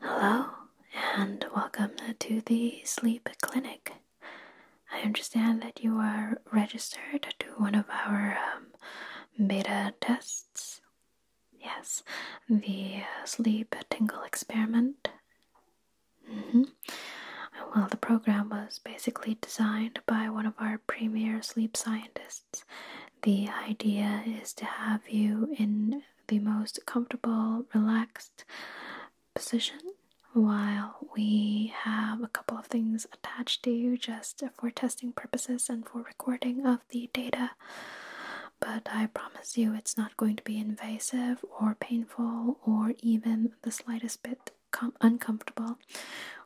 Hello, and welcome to the sleep clinic. I understand that you are registered to one of our um, beta tests. Yes, the uh, sleep tingle experiment. mm Well, the program was basically designed by one of our premier sleep scientists. The idea is to have you in the most comfortable, relaxed position while we have a couple of things attached to you just for testing purposes and for recording of the data. But I promise you it's not going to be invasive or painful or even the slightest bit uncomfortable.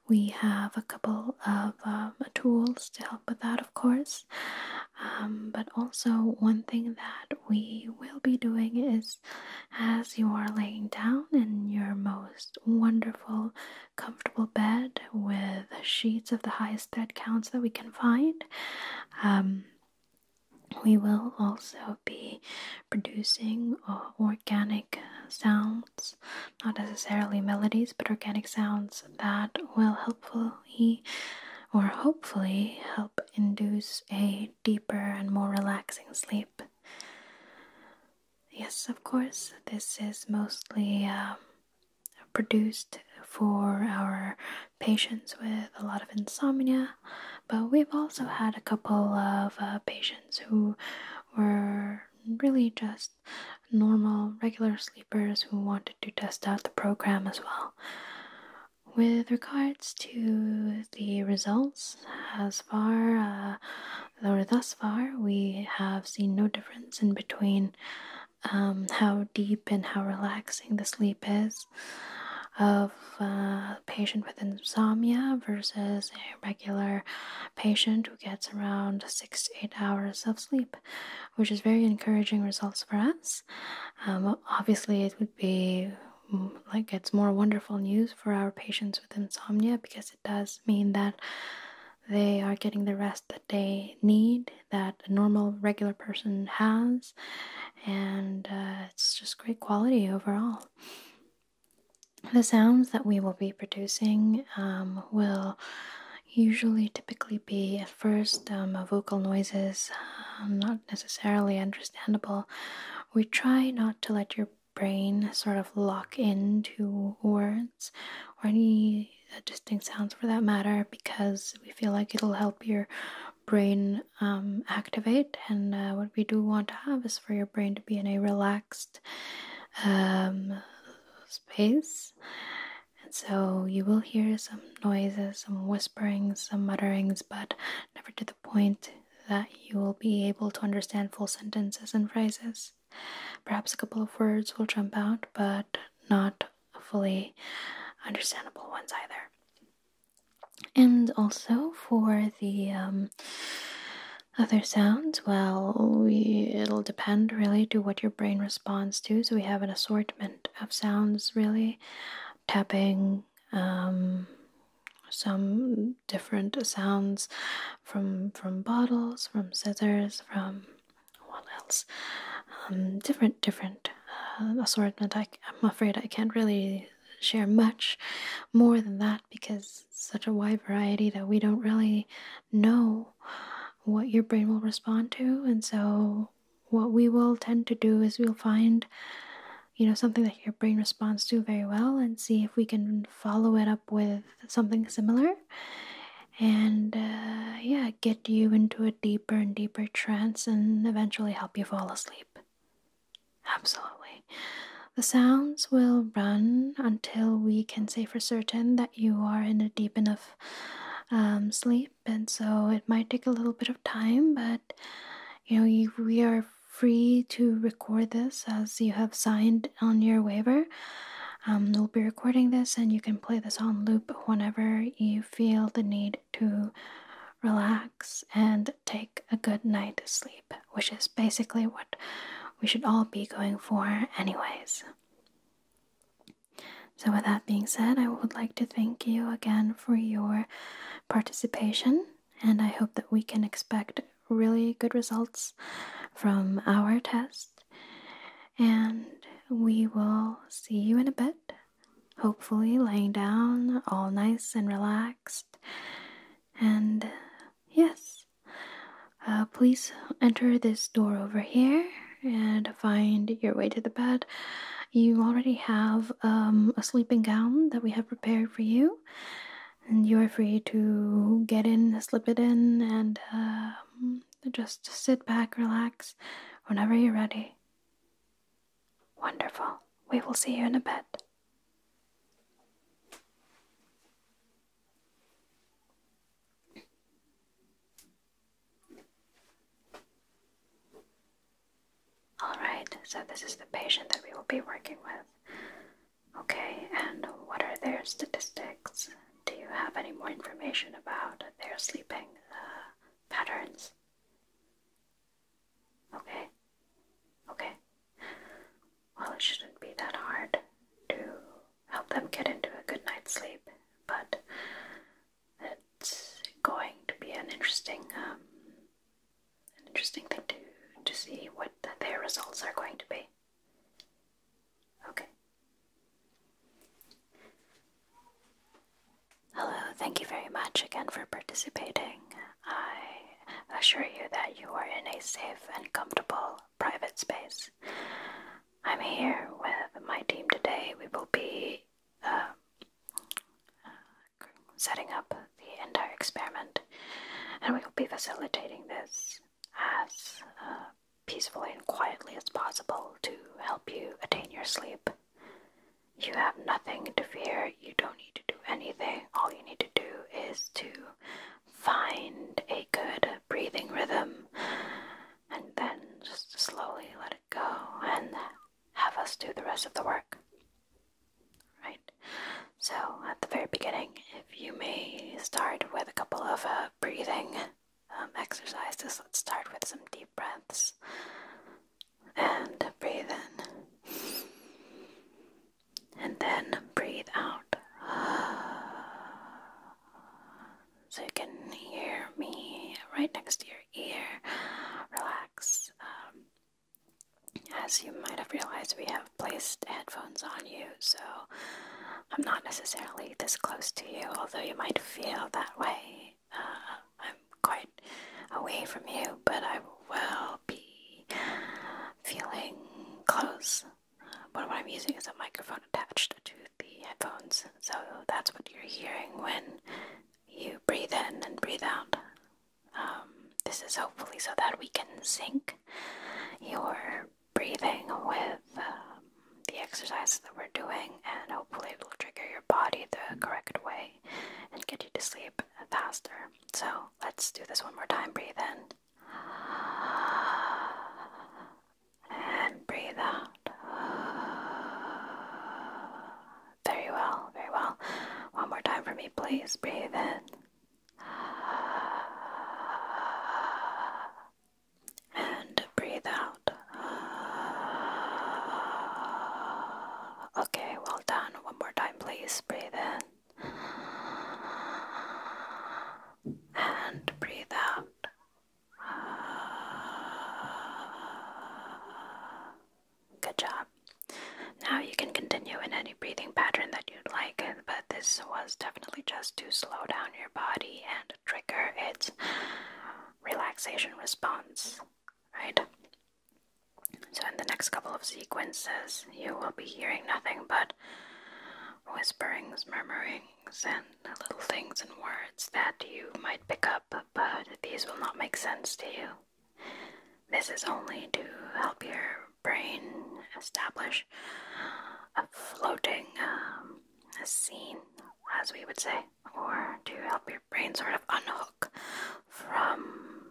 We have a couple of um, tools to help with that, of course. Um, but also, one thing that we will be doing is as you are laying down in your most wonderful, comfortable bed with sheets of the highest thread counts that we can find. Um, we will also be producing uh, organic sounds, not necessarily melodies, but organic sounds that will helpfully or hopefully help induce a deeper and more relaxing sleep. Yes, of course, this is mostly um, produced for our patients with a lot of insomnia, but we've also had a couple of uh, patients who were really just normal, regular sleep sleepers who wanted to test out the program as well. With regards to the results, as far uh, or thus far, we have seen no difference in between um, how deep and how relaxing the sleep is of uh, a patient with insomnia versus a regular patient who gets around six to eight hours of sleep, which is very encouraging results for us. Um, obviously, it would be mm, like it's more wonderful news for our patients with insomnia because it does mean that they are getting the rest that they need, that a normal, regular person has, and uh, it's just great quality overall. The sounds that we will be producing um, will usually typically be at first um, vocal noises, um, not necessarily understandable. We try not to let your brain sort of lock into words or any uh, distinct sounds for that matter because we feel like it'll help your brain um, activate and uh, what we do want to have is for your brain to be in a relaxed space and so you will hear some noises, some whisperings, some mutterings, but never to the point that you will be able to understand full sentences and phrases. Perhaps a couple of words will jump out, but not fully understandable ones either. And also for the um, other sounds, well, it'll depend really to what your brain responds to. So we have an assortment lot of sounds really tapping um, some different sounds from from bottles from scissors from what else um, different different uh, assortment i'm afraid i can't really share much more than that because such a wide variety that we don't really know what your brain will respond to and so what we will tend to do is we'll find you know something that your brain responds to very well and see if we can follow it up with something similar and uh, yeah get you into a deeper and deeper trance and eventually help you fall asleep absolutely the sounds will run until we can say for certain that you are in a deep enough um, sleep and so it might take a little bit of time, but you know, we are free to record this as you have signed on your waiver. Um, we'll be recording this, and you can play this on loop whenever you feel the need to relax and take a good night's sleep, which is basically what we should all be going for, anyways. So, with that being said, I would like to thank you again for your participation, and I hope that we can expect really good results from our test. And we will see you in a bit, hopefully, laying down all nice and relaxed. And yes, uh, please enter this door over here and find your way to the bed. You already have um, a sleeping gown that we have prepared for you, and you are free to get in, slip it in, and um, just sit back, relax whenever you're ready. Wonderful. We will see you in a bit. Alright, so this is the patient that we will be working with. Okay, and what are their statistics? Do you have any more information about their sleeping uh, patterns? Okay, okay. Well, it shouldn't be that hard to help them get into a good night's sleep, but it's going to be an interesting, um, an interesting thing to to see what their results are going to be. Okay. Hello, thank you very much again for participating. I assure you that you are in a safe and comfortable private space. I'm here with my team today. We will be um, setting up the entire experiment and we will be facilitating this as uh, peacefully and quietly as possible to help you attain your sleep. You have nothing to fear, you don't need to do anything. All you need to do is to find a good breathing rhythm and then just slowly let it go and have us do the rest of the work. Right? So, at the very beginning, if you may start with a couple of uh, breathing um, exercises, let's start with some deep breaths. And breathe in. And then breathe out so you can hear me right next to your ear. Relax. Um, as you might have realized, we have placed headphones on you, so I'm not necessarily this close to you, although you might feel that way. Uh, I'm quite away from you, but I will be feeling close. but uh, what I'm using is a microphone attached to the headphones. So that's what you're hearing when you breathe in and breathe out. Um, this is hopefully so that we can sync your breathing with um, the exercises that we're doing, and hopefully, it will trigger your body the correct way and get you to sleep faster. So, let's do this one more time breathe in and breathe out. Very well, very well. One more time for me, please. Breathe in. And breathe out. Okay, well done. One more time, please. Breathe in. And breathe out. Good job. Now you can continue in any breathing pattern that you'd like, but this was definitely just to slow down your body and trigger its relaxation response, right? So, in the next couple of sequences, you will be hearing nothing but whisperings, murmuring and little things and words that you might pick up, but these will not make sense to you. This is only to help your brain establish a floating um, scene, as we would say, or to help your brain sort of unhook from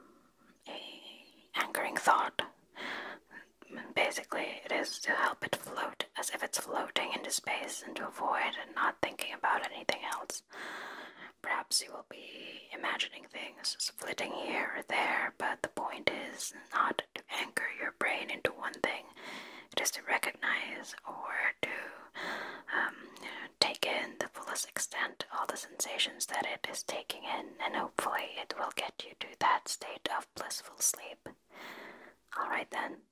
a anchoring thought. Basically, it is to help it float as if it's floating into space and to void and not thinking about anything else. Perhaps you will be imagining things just flitting here or there, but the point is not to anchor your brain into one thing. It is to recognize or to um, take in the fullest extent all the sensations that it is taking in, and hopefully it will get you to that state of blissful sleep. Alright then,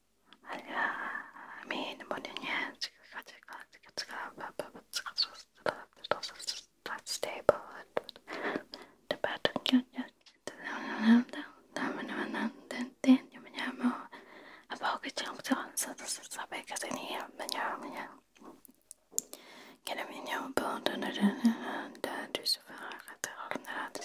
i 뭐냐 뭐냐 Let's stay put. The button Kan du min jobb under den där du så förra att det har den här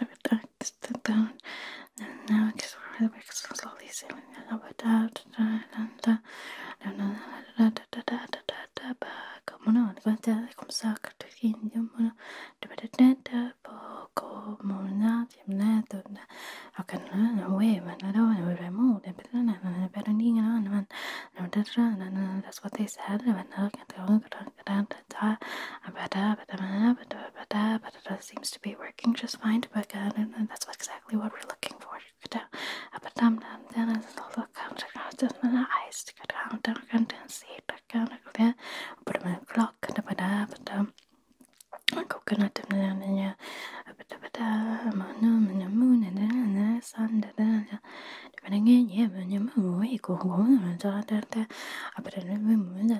relaxed down and now explore the works slowly sailing about out como no levanta começar de uma dependente pouco mona temneto ao canal na web na rua na remote na perna na perninha na na na that's what they said and I can't go seems to be working just fine, but that's exactly what we're looking for.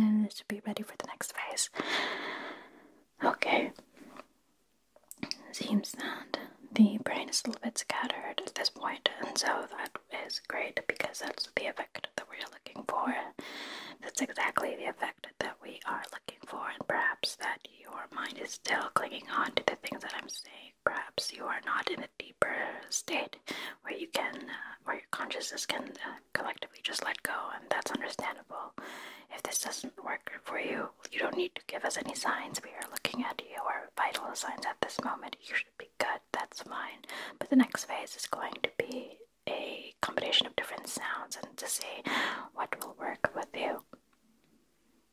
and it should be ready for the next phase. Okay. Seems that the brain is a little bit scattered at this point, and so that is great because that's the effect that we're looking for. That's exactly the effect that we are looking for, and perhaps that your mind is still clinging on to the things that I'm saying perhaps you are not in a deeper state where you can, uh, where your consciousness can uh, collectively just let go, and that's understandable. If this doesn't work for you, you don't need to give us any signs. We are looking at you. your vital signs at this moment. You should be good. That's fine. But the next phase is going to be a combination of different sounds and to see what will work with you.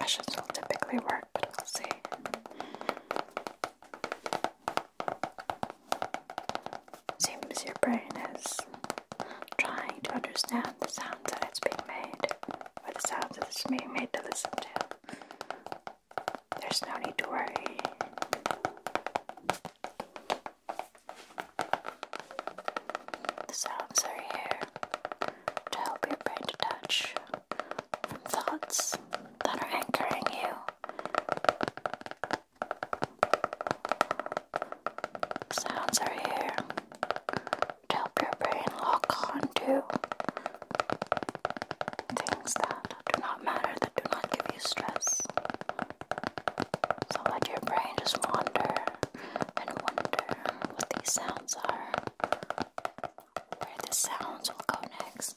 Percussions will typically work, but we'll see. Seems your brain is trying to understand the sounds that it's being made, or the sounds that it's being made to listen to. There's no need to worry. The sounds are here to help your brain detach from thoughts that are anchoring you sounds are here to help your brain lock onto things that do not matter, that do not give you stress. So let your brain just wander and wonder what these sounds are, where the sounds will go next.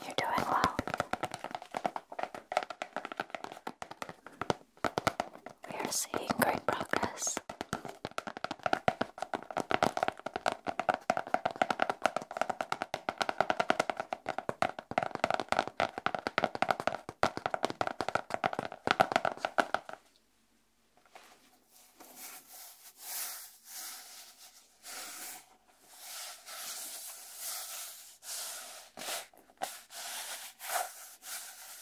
You're doing well. We are seeing great progress.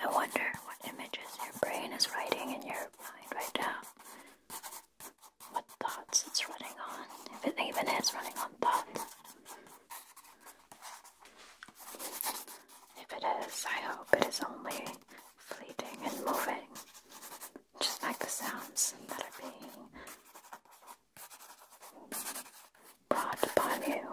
I wonder what images your brain is writing in your mind right now. What thoughts it's running on, if it even is running on thoughts. If it is, I hope it is only fleeting and moving, just like the sounds that are being brought upon you.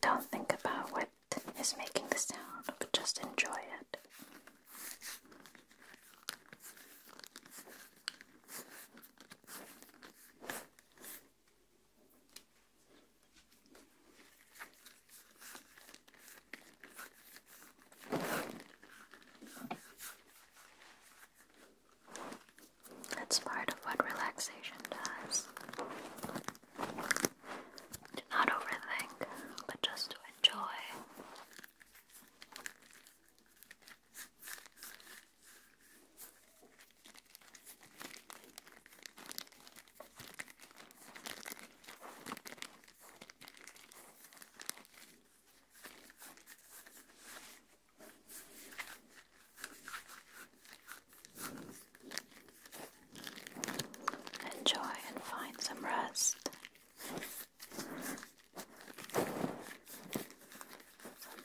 Don't think about what is making the sound, but just enjoy it. That's part of what relaxation does. Do not overthink, but just to enjoy. Enjoy and find some rest. Some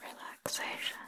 relaxation.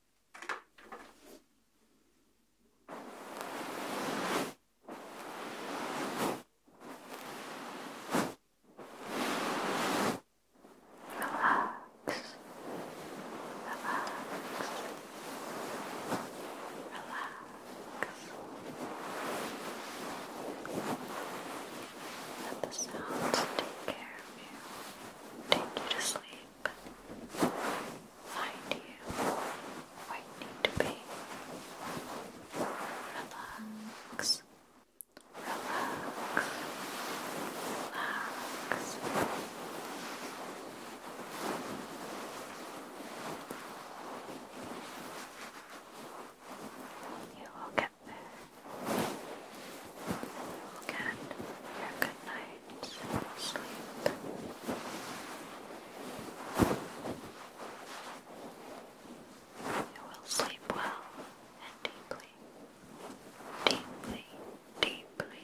Relax. Relax. Relax. Let the sounds take care of you. Take you to sleep sleep, find you where need to be. Relax, relax, relax. You will get there. You will get your good night and You will sleep well and deeply, deeply, deeply, deeply.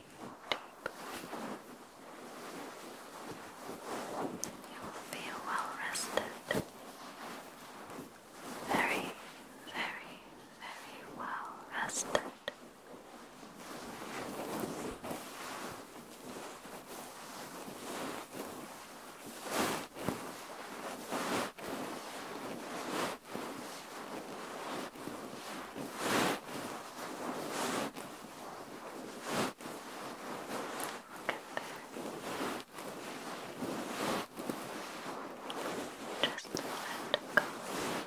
You will feel well rested. Very, very, very well rested. Just let go.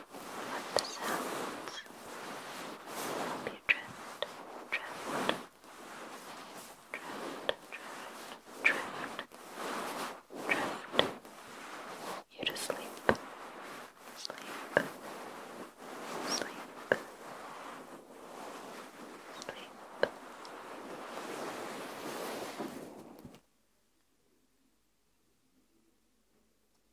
let the sounds help you drift, drift, drift, drift, drift, drift you to sleep, sleep, sleep, sleep.